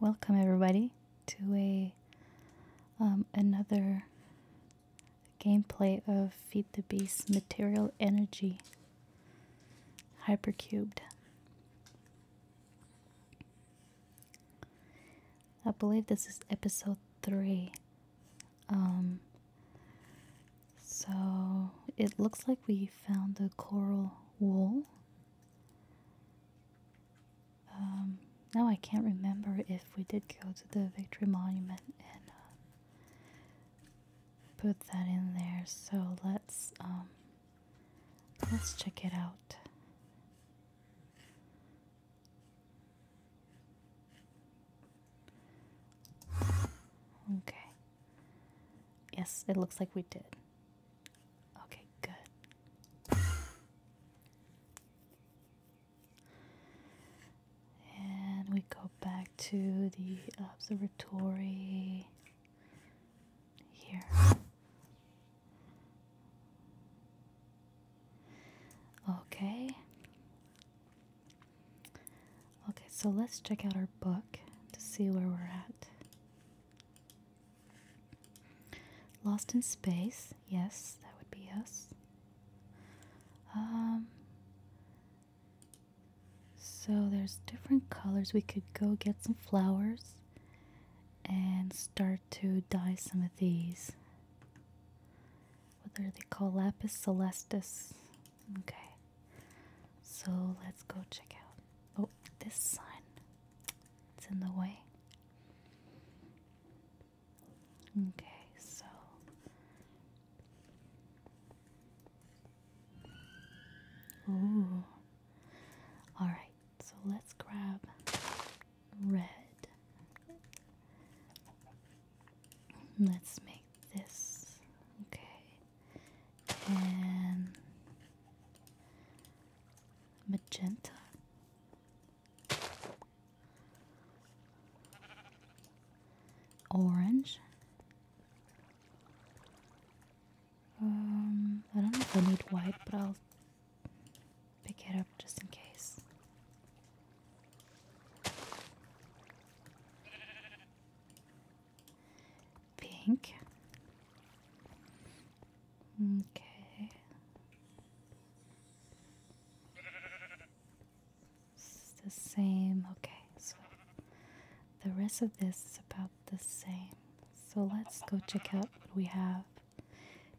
Welcome everybody to a um, another gameplay of Feed the Beast Material Energy Hypercubed. I believe this is episode 3. Um, so it looks like we found the coral wool. Um, now I can't remember if we did go to the Victory Monument and uh, put that in there. So let's um, let's check it out. Okay. Yes, it looks like we did. Okay, good. And we go back to the observatory here. Okay. Okay, so let's check out our book to see where we're at. Lost in Space, yes, that would be us. Um, so there's different colors. We could go get some flowers and start to dye some of these. What are they called? Lapis Celestis. Okay. So let's go check out. Oh, this sign. It's in the way. Okay, so Ooh. All right. So let's grab red. Let's make this okay and magenta. Orange. Um, I don't know if I need white, but I'll pick it up just in case pink. Okay. It's the same. Okay, so the rest of this is about the same. So let's go check out what we have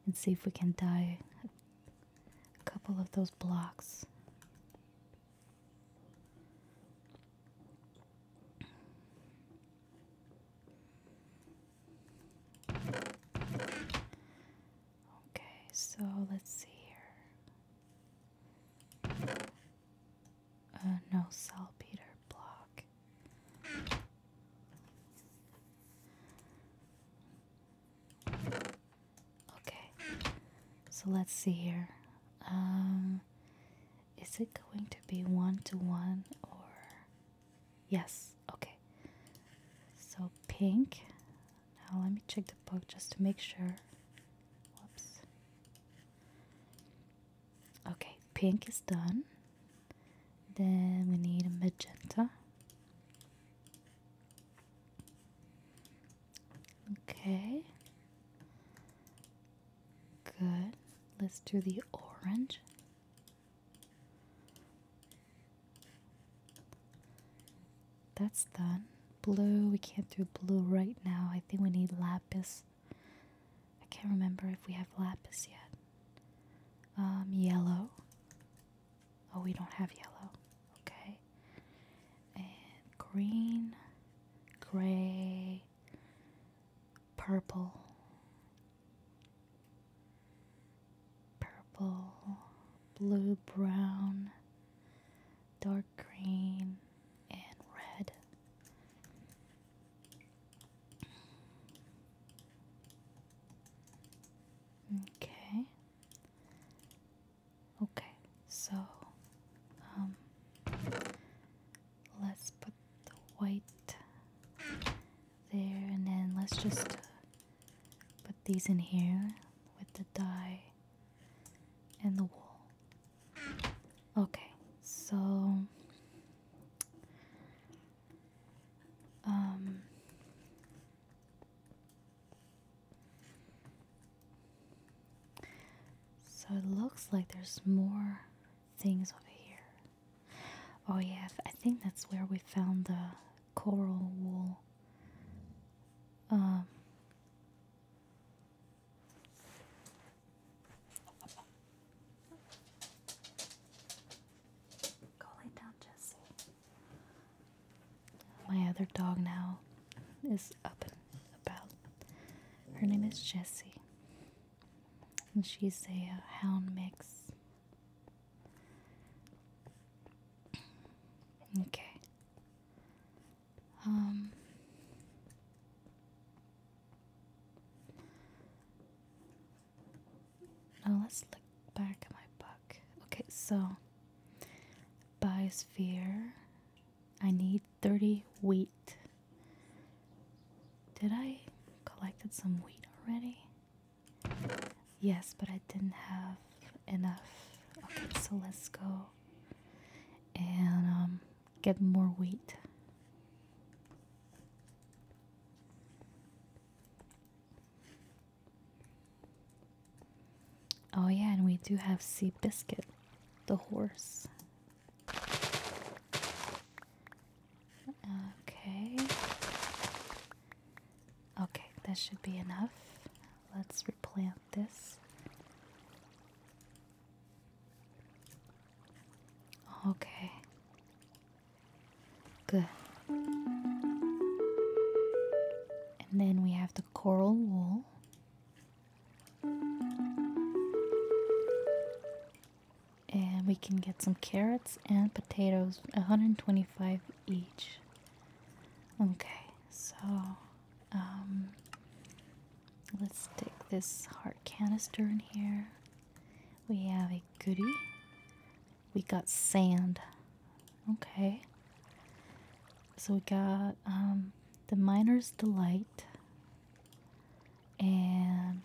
and see if we can dye a couple of those blocks. Okay, so let's see here. Uh, no saltpeter block. Okay, so let's see here. Um, is it going to be one to one or yes? Okay, so pink. Now let me check the book just to make sure. Whoops. Okay, pink is done. Then we need a magenta. Okay. Good. Let's do the orange. That's done. Blue, we can't do blue right now. I think we need lapis. I can't remember if we have lapis yet. Um, yellow. Oh, we don't have yellow okay and green gray purple purple blue brown dark green and red Okay, Okay, so um let's put the white there and then let's just uh, put these in here with the dye and the wool. Okay, so um so it looks like there's more things over here. Oh yeah, I think that's where we found the coral wool. Um, go lay down, Jesse. My other dog now is up and about. Her name is Jessie, and she's a uh, hound mix. Okay. Um. Now let's look back at my book. Okay, so biosphere I need 30 wheat. Did I collected some wheat already? Yes, but I didn't have enough. Okay, so let's go and um, get more wheat. Oh yeah, and we do have Sea Biscuit, the horse. Okay. Okay, that should be enough. Let's replant this. Okay. Good. And then we have the coral wool. And we can get some carrots and potatoes, 125 each. Okay, so um, let's stick this heart canister in here. We have a goody. We got sand. Okay. So we got um, the Miner's Delight and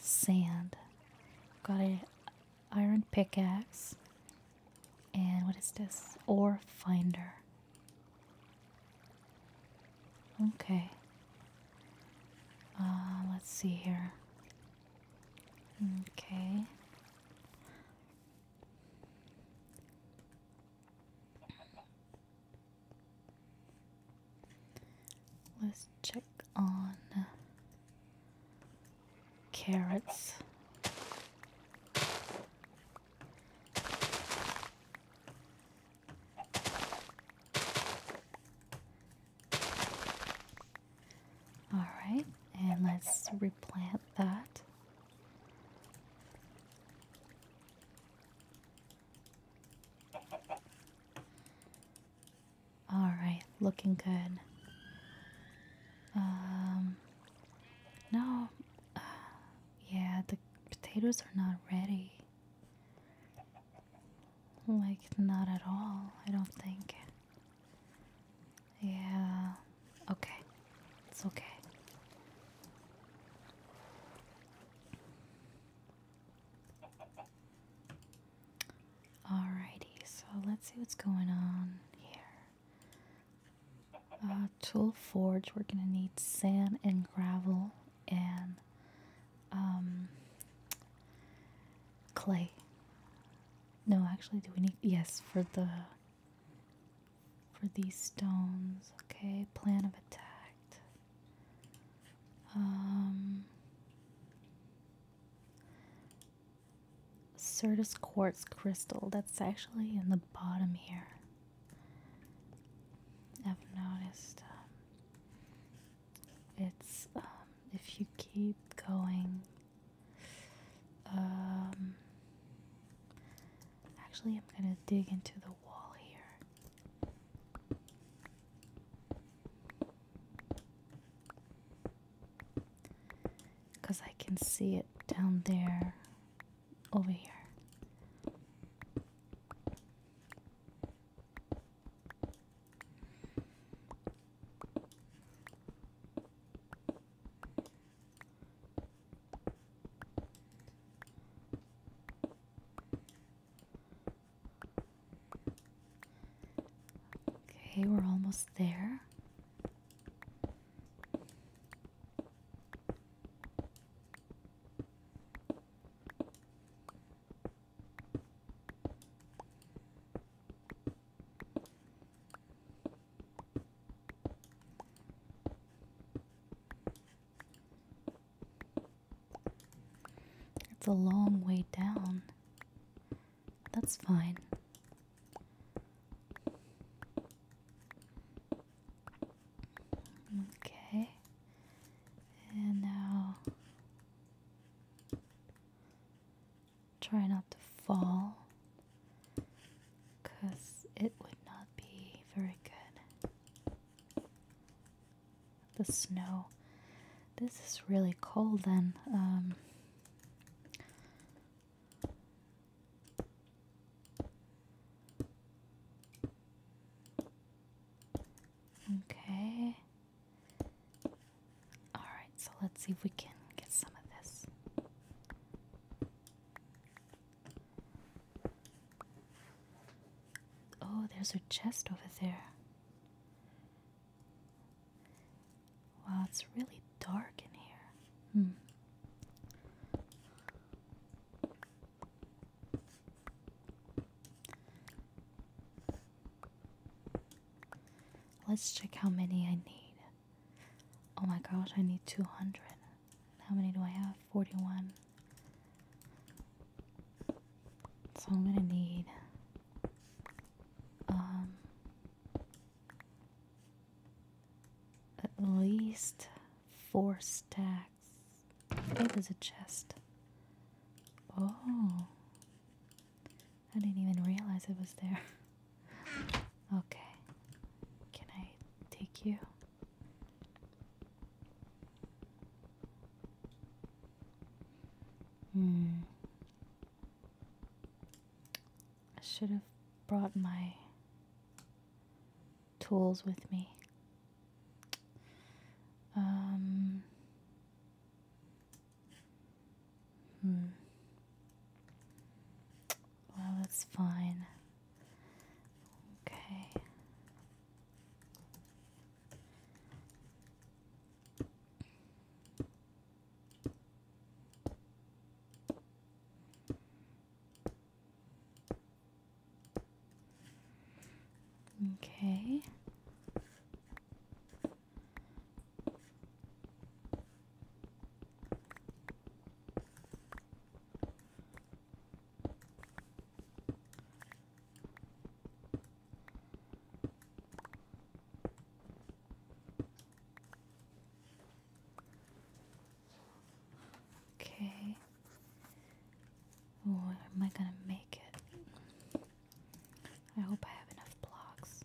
sand. Got an iron pickaxe. And what is this? Ore finder. Okay. Uh, let's see here. Okay. Let's check on carrots. All right, and let's replant that. All right, looking good. Um, no, uh, yeah, the potatoes are not ready. Like, not at all, I don't think. Yeah. Okay. It's okay. Alrighty, so let's see what's going on here. Uh, tool forge, we're gonna need sand and gravel and um, clay. No, actually, do we need? Yes, for the for these stones. Okay, plan of attack. Um, Certus quartz crystal. That's actually in the bottom here. I've noticed um, it's um, if you keep going. Um, Actually, I'm gonna dig into the wall here. Because I can see it down there, over here. Okay, we're almost there. It's a long way down. That's fine. Okay. And now try not to fall because it would not be very good. The snow. This is really cold then. Um. okay. Alright, so let's see if we can get some of this. Oh, there's a chest over there. Wow, it's really dark in here. Hmm. Let's check how many I need. Oh my gosh, I need 200. How many do I have? 41. So I'm gonna need um, at least four stacks. Oh, there's a chest. Oh. I didn't even realize it was there. okay. Can I take you? Hmm. I should have brought my tools with me. Um. Hmm. Well, that's fine. Okay. Okay. Okay. Or am I gonna make it? I hope I have enough blocks.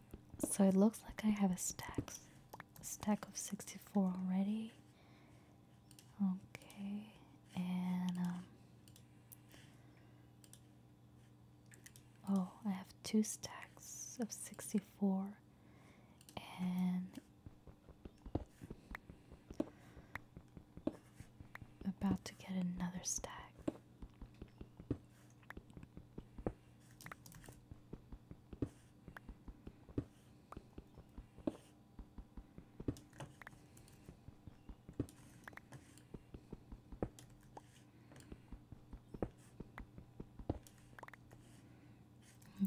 So it looks like I have a stack, stack of 64 already. Okay, and um, oh, I have two stacks of 64, and about to get another stack.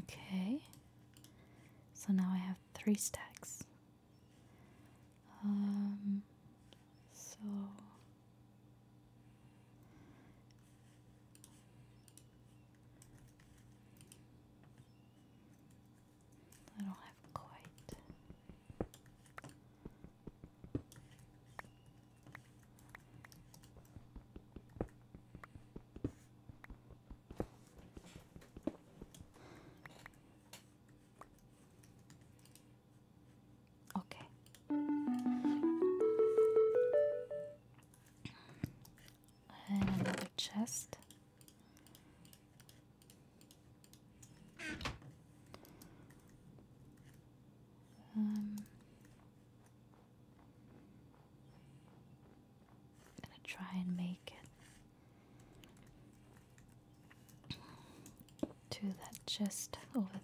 Okay, so now I have three stacks. Um, so I don't have quite Okay. another chest. Um, gonna try and make it to that chest over there.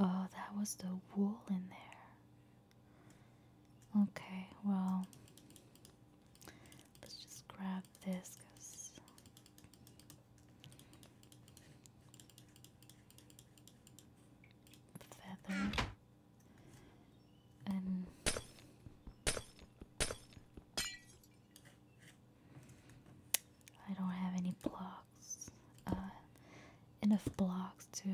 Oh, that was the wool in there. Okay, well, let's just grab this Feather and I don't have any blocks, uh, enough blocks to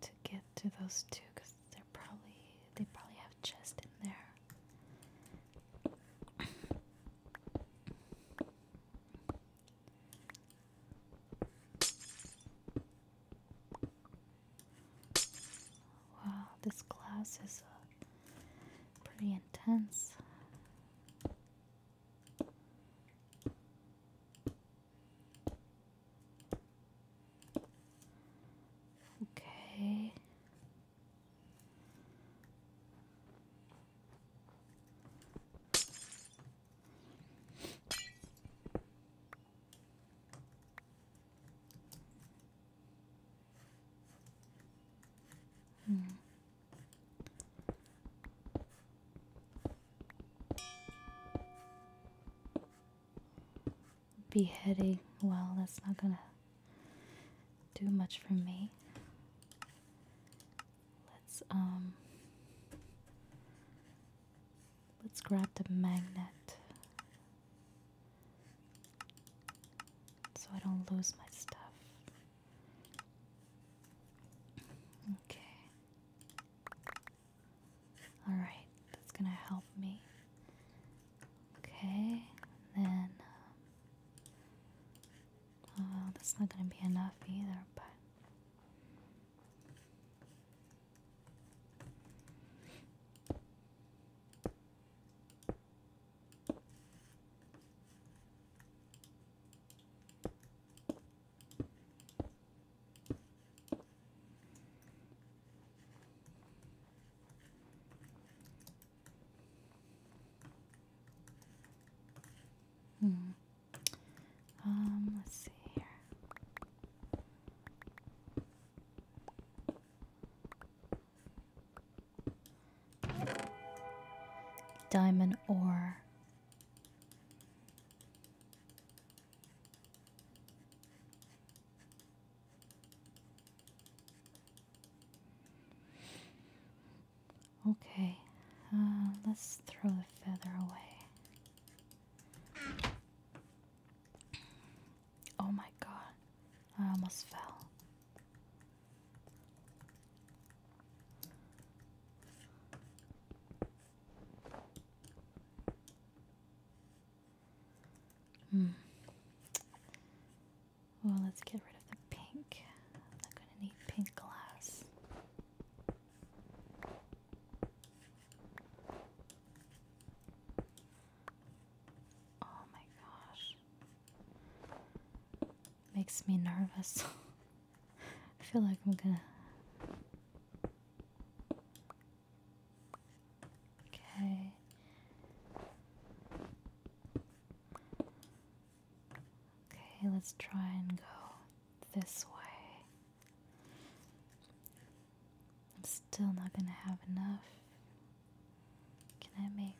to get to those two because they're probably they probably have chest in there. Wow, this class is uh, pretty intense. Okay. Hmm. Beheading, well, that's not gonna do much for me. Let's, um, Let's grab the magnet so I don't lose my stuff. Okay. Alright, that's gonna help me. Okay, then. oh, that's not gonna be enough either, but. Hmm. Um, let's see here. Diamond ore. Okay, uh, let's throw the feather away. Oh my god, I almost fell. Hmm. Well, let's get rid of the pink. I'm not gonna need pink glass. Oh my gosh. Makes me nervous. I feel like I'm gonna. Okay. Okay, let's try and go this way. I'm still not gonna have enough. Can I make.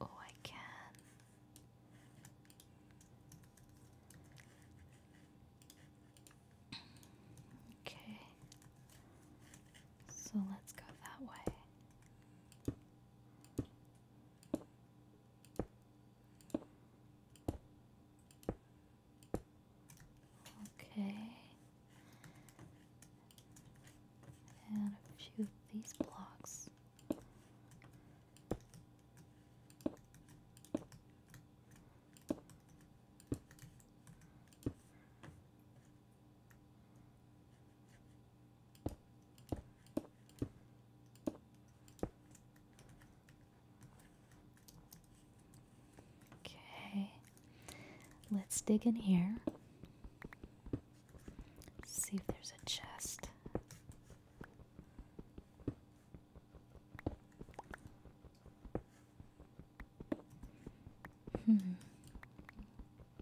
Oh, I can. Okay. So let's go that way. Okay. And a few of these blocks. Okay, let's dig in here. See if there's a chest. Hmm.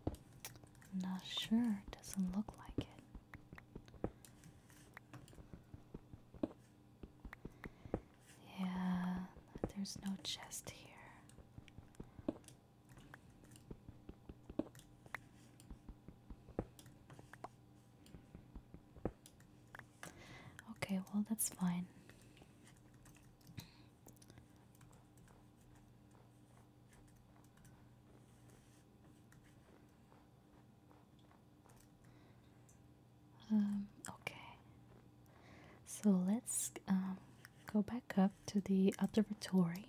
I'm not sure. It doesn't look like it. Yeah, there's no chest here. Okay, well, that's fine. Um, okay, so let's um, go back up to the observatory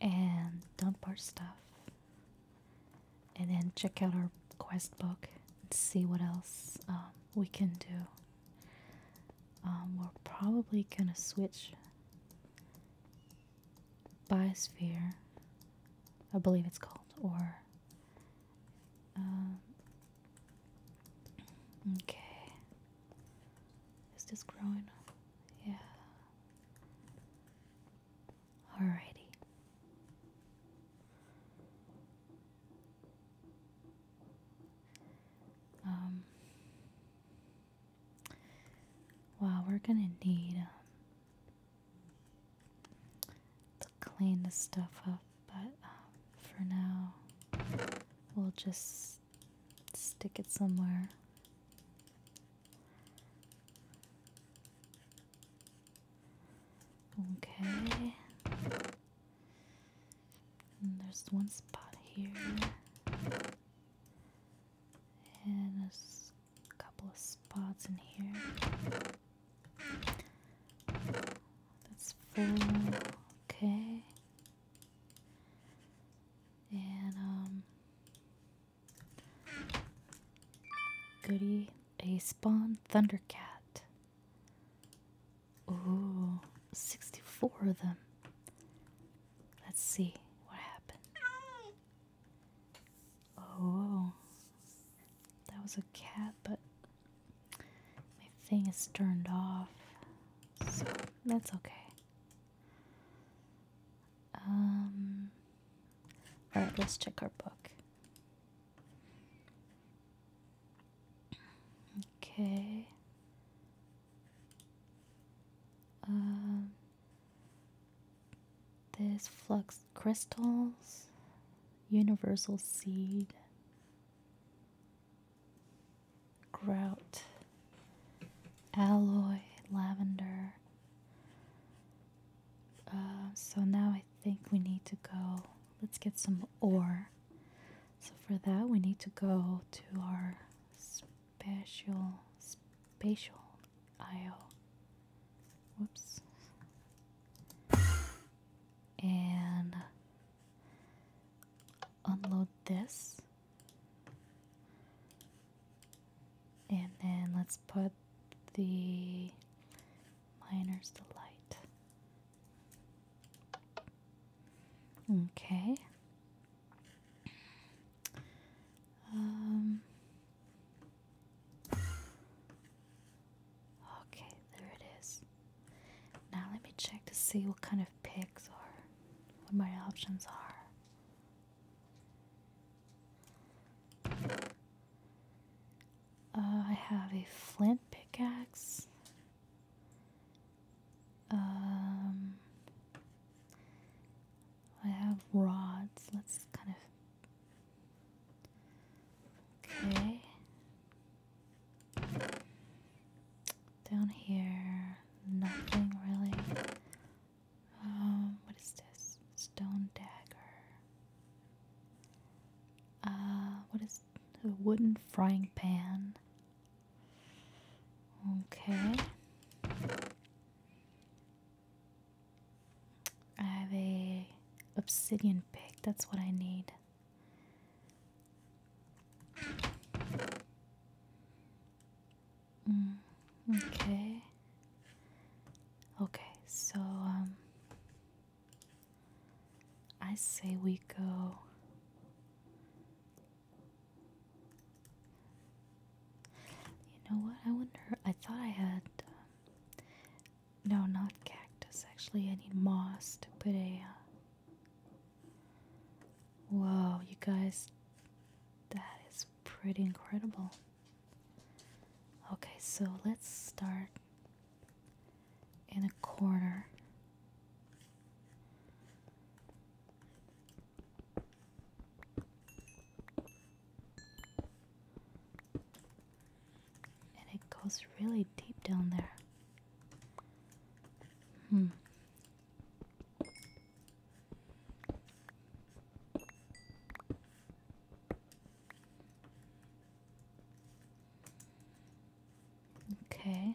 and dump our stuff and then check out our quest book and see what else um, we can do. Um, we're probably gonna switch biosphere, I believe it's called, or um, okay. Is this growing Yeah. Alrighty. Um. Wow, we're gonna need um, they clean the stuff up, but um, for now, we'll just stick it somewhere. Okay. there's one spot here. And there's a couple of spots in here. That's full. Okay. And, um, goody, a spawn thundercat. Ooh, 64 of them. Let's see what happened. Oh, that was a cat, but my thing is turned off, so that's okay. Um, alright, let's check our book. Okay. Um, this flux crystals, universal seed, grout, alloy, lavender. Uh, so now I think we need to go. Let's get some ore. So for that, we need to go to our special spatial IO. Whoops. And unload this. And then let's put the miner's to light. Okay. Um, Okay, there it is. Now let me check to see what kind of picks are, what my options are. Uh, I have a flint pickaxe. Um, I have rods. Let's kind of Okay. Down here, nothing really. Um, what is this? Stone dagger. Uh, what is a wooden frying pan? Okay. I have a obsidian pick. That's what I need. Mm, okay. Okay, so um I say we go You know what? I wonder. I thought I had um, no, not cactus. Actually, I need moss to put a. Uh, whoa, you guys. That is pretty incredible. Okay, so let's start in a corner and it goes really deep down there. Hmm. Okay.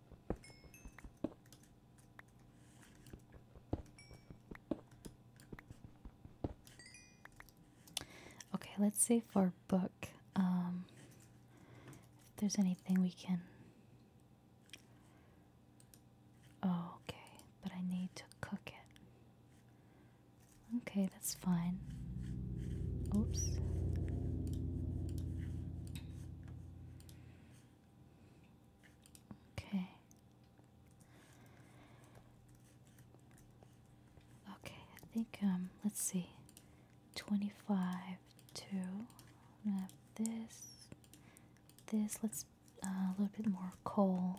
Okay, let's see for book. Um, if there's anything we can. Oh, okay, but I need to cook it. Okay, that's fine. Oops. Okay. Okay, I think um let's see. 25 two. this this let's uh, a little bit more coal.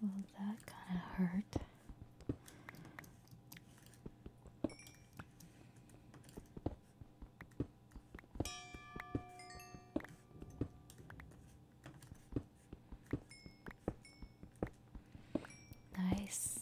Well, that kind of hurt. Nice.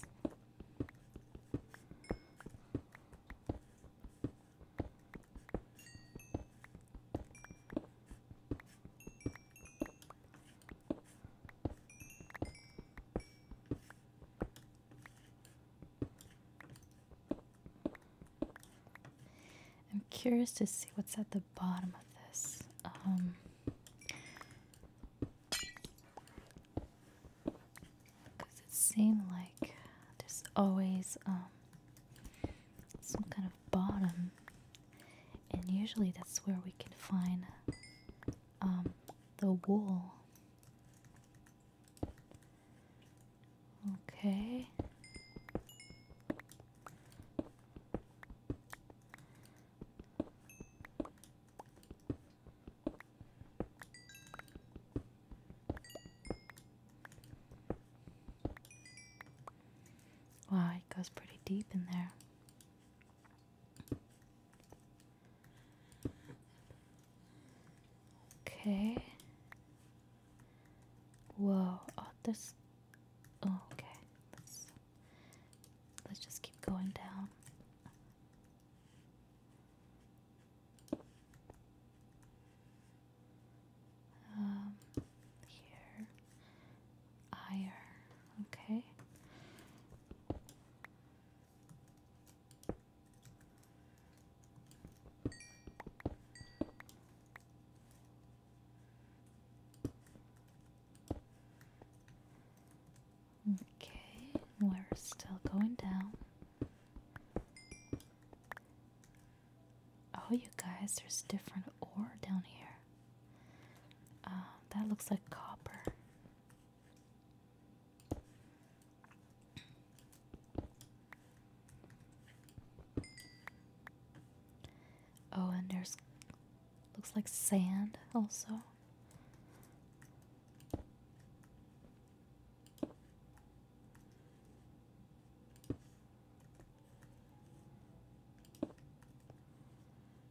I'm curious to see what's at the bottom of this. Um, because it seemed like there's always um some kind of bottom, and usually that's where we can find um, the wool. Okay. Wow, it goes pretty deep in there. Okay. Whoa. Oh, this. Oh, okay. Let's let's just keep going down. Um, here ire. Okay. Okay, we're still going down. Oh, you guys, there's different ore down here. Um, that looks like copper. Oh, and there's looks like sand also.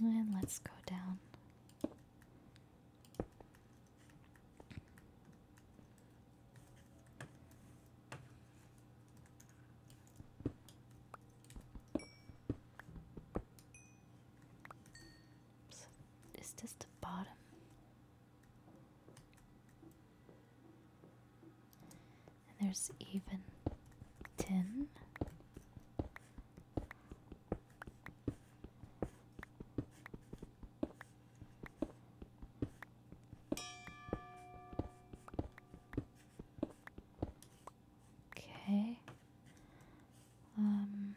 And let's go down. is this the bottom? And there's even ten. Okay. Um,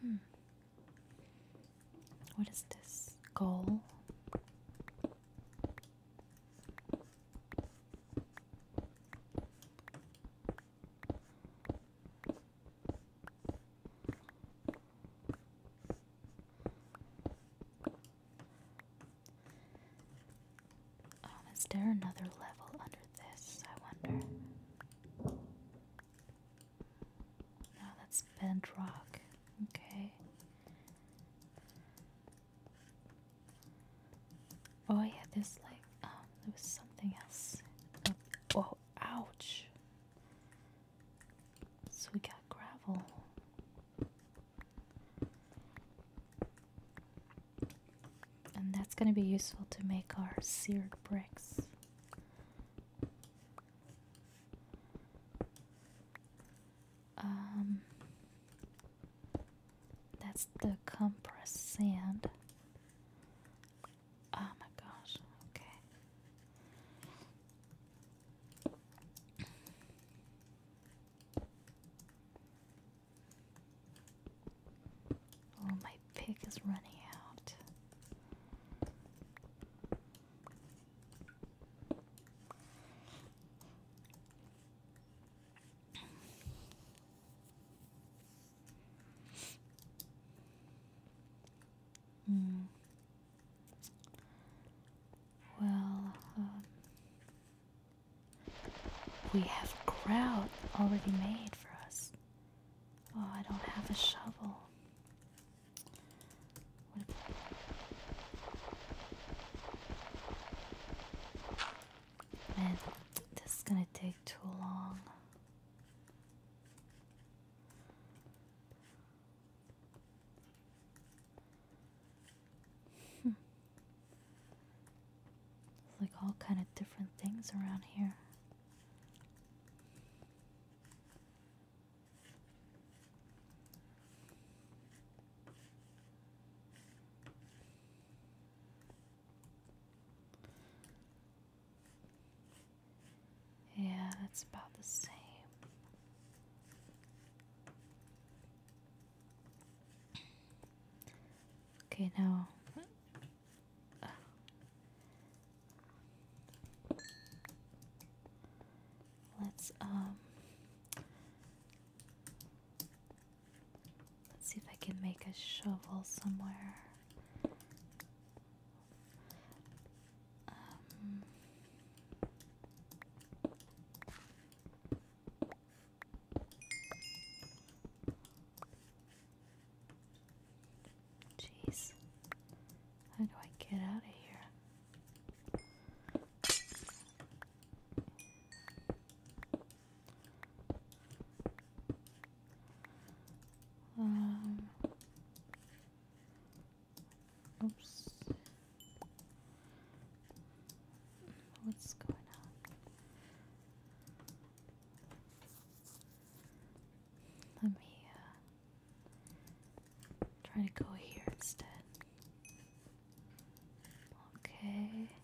hmm. What is this? Goal? Oh, is there another level under this? I wonder. No, that's bedrock. Okay. Oh yeah, there's like um there was something else. Oh ouch. So we got gravel. And that's gonna be useful to make our seared bricks. Um that's the compressed sand. Oh my gosh, okay. Oh, my pick is running out. Mm. Well, um, we have grout already made for us. Oh, I don't have a shovel. Man, this is gonna take too long. Hmm. like all kind of different things around here. Yeah, that's about the same. Okay, now. Let's, um. Let's see if I can make a shovel somewhere. Um, jeez, how do I get out of here? Um, oops. What's going on? Let me uh, try to go here instead. Okay.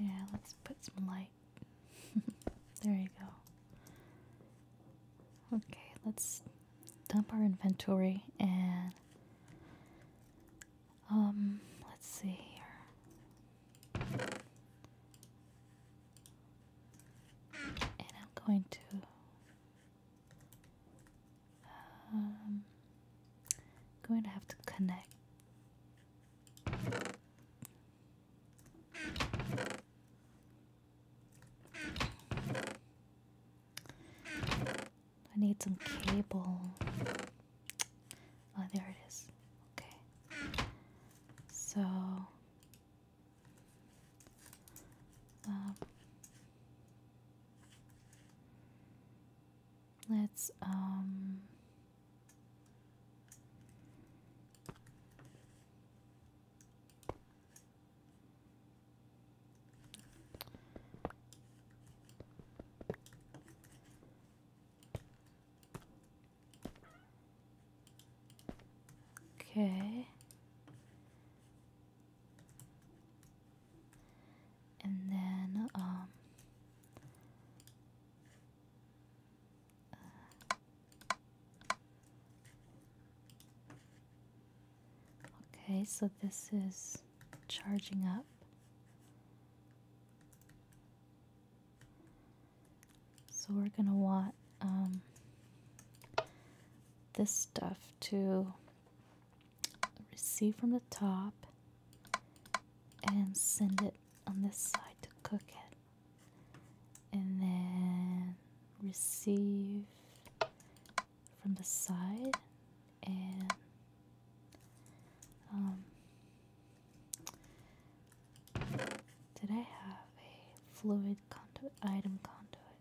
Yeah, let's put some light. there you go. Okay, let's dump our inventory and um let's see here. And I'm going to um, going to have to connect. I need some cable. Oh, there it is. Okay. So, um, Let's um Okay and then um, okay so this is charging up so we're going to want um, this stuff to receive from the top and send it on this side to cook it and then receive from the side and um, did I have a fluid conduit item conduit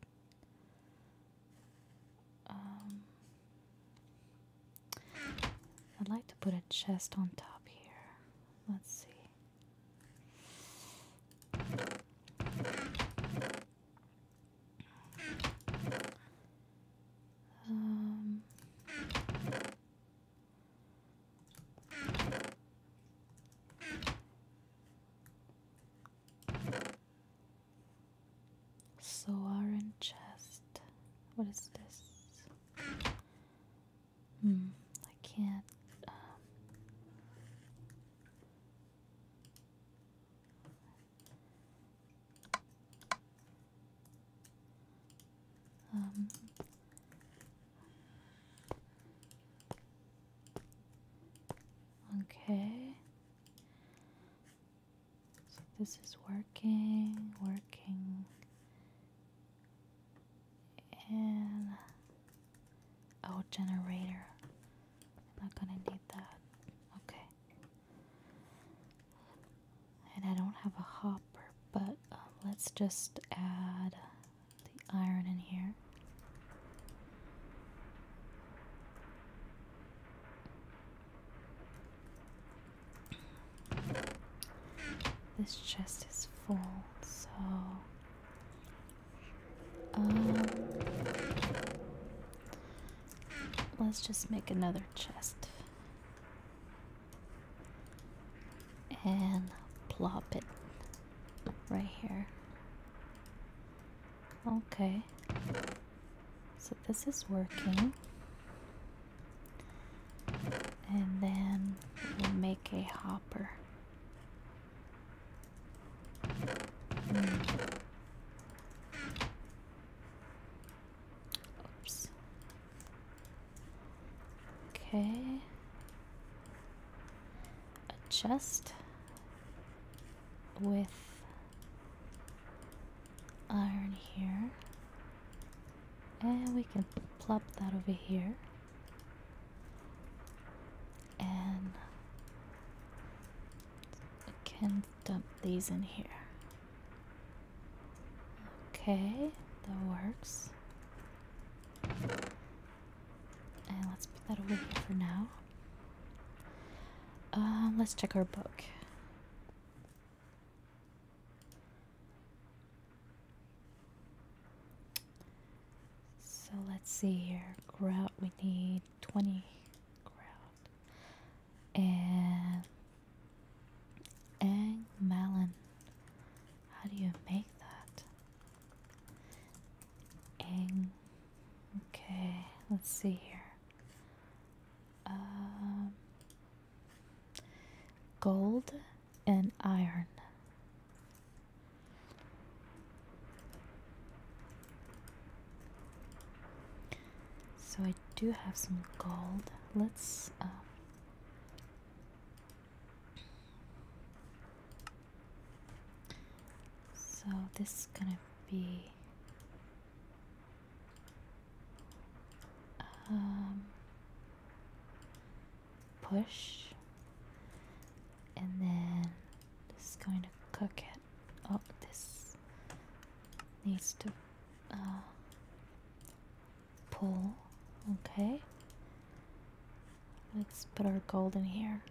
um, I'd like to put a chest on top here. Let's see. Um, Soar and chest. What is this? Hmm, I can't. Um, um Okay. So this is working, working. And oh, generator. i not gonna need that. Okay. And I don't have a hopper, but um, let's just add the iron in here. This chest is full, so um, let's just make another chest and plop it right here. Okay. So this is working. And then we'll make a hopper. Oops. Okay. Adjust with iron here. And we can plop that over here. And I can dump these in here. Okay, that works. And let's put that over here for now. Um, let's check our book. So let's see here. Grout, we need 20 grout. And egg melon. How do you make that? Egg. Okay, let's see here. Um, Gold and iron. So I do have some gold. Let's. Uh, so this is gonna be um, push, and then just going to cook it. Oh, this needs to uh, pull. Okay. Let's put our gold in here.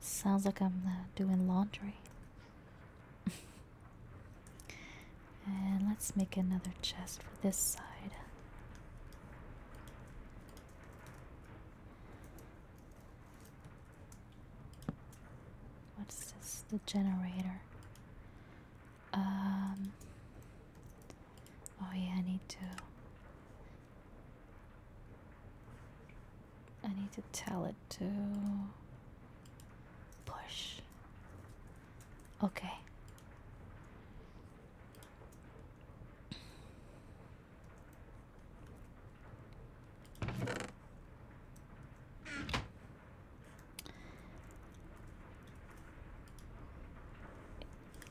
Sounds like I'm uh, doing laundry. and let's make another chest for this side. What's this? The generator. Um. Oh, yeah, I need to. I need to tell it to push. Okay.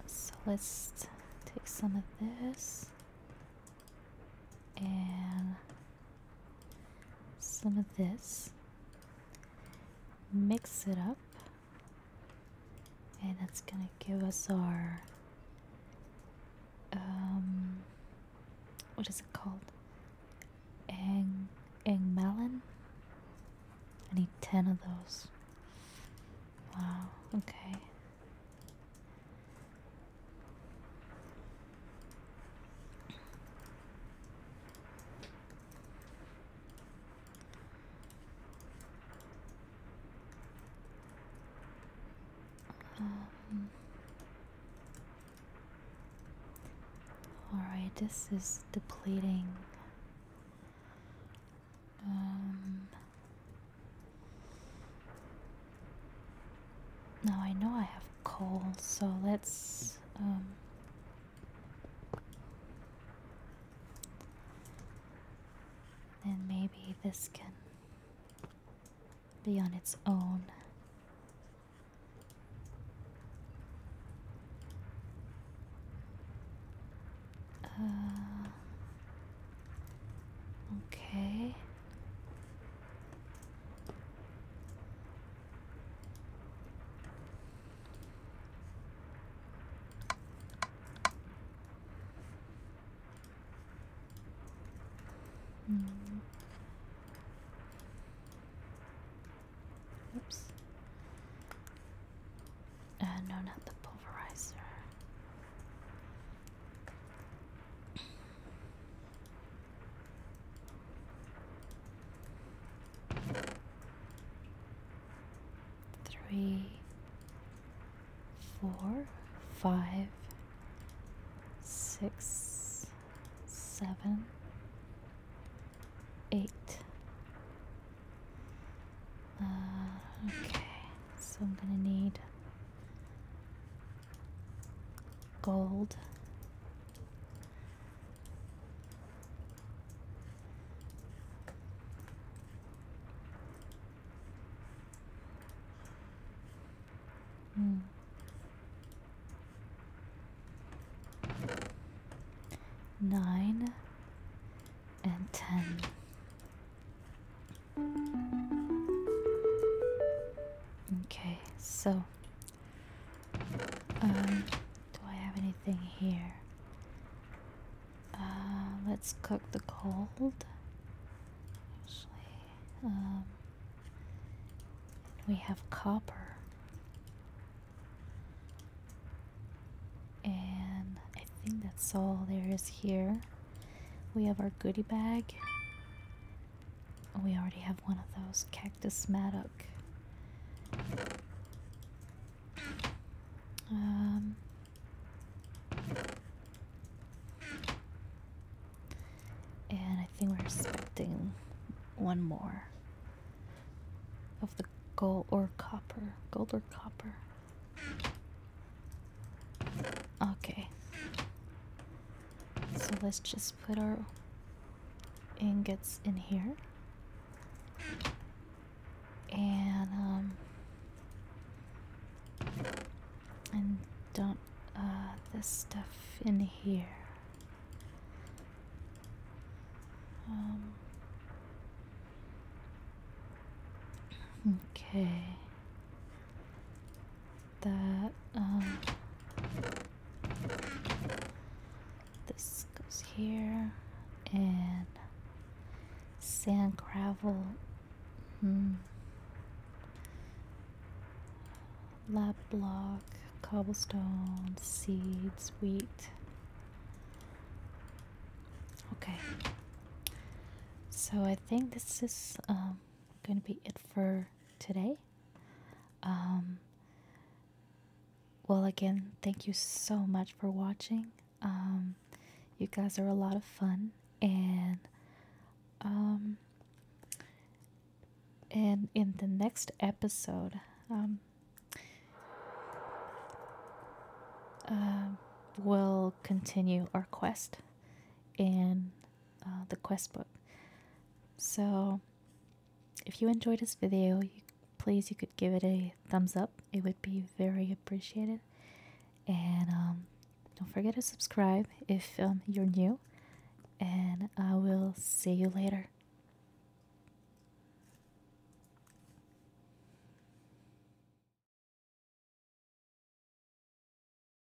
So let's take some of this and some of this, mix it up, and that's gonna give us our um, what is it called? Egg, egg melon. I need ten of those. Wow. Okay. Um, Alright, this is depleting. Um, now I know I have coal, so let's um maybe this can be on its own. Uh, okay. Mm. Oops. Uh, no, not the pulverizer. Three, four, five, six, seven, eight. Uh, okay, so I'm gonna need gold mm. nine and ten Okay, so um, do I have anything here? Uh, let's cook the cold. Actually, um, we have copper, and I think that's all there is here. We have our goodie bag, Oh, we already have one of those. Cactus mattock. Um, and I think we're expecting one more of the gold or copper. Gold or copper. Okay. So let's just put our ingots in here. And, um, and dump uh, this stuff in here. Um, okay that. Um, this goes here, and sand gravel. Hmm, lab block, cobblestone, seeds, wheat. Okay. So I think this is um, going to be it for today. Um, well, again, thank you so much for watching. Um, you guys are a lot of fun, and um, and in the next episode, uh, we'll continue our quest And. Uh, the quest book. So, if you enjoyed this video, please you could give it a thumbs up. It would be very appreciated. And um, don't forget to subscribe if um, you're new. And I will see you later.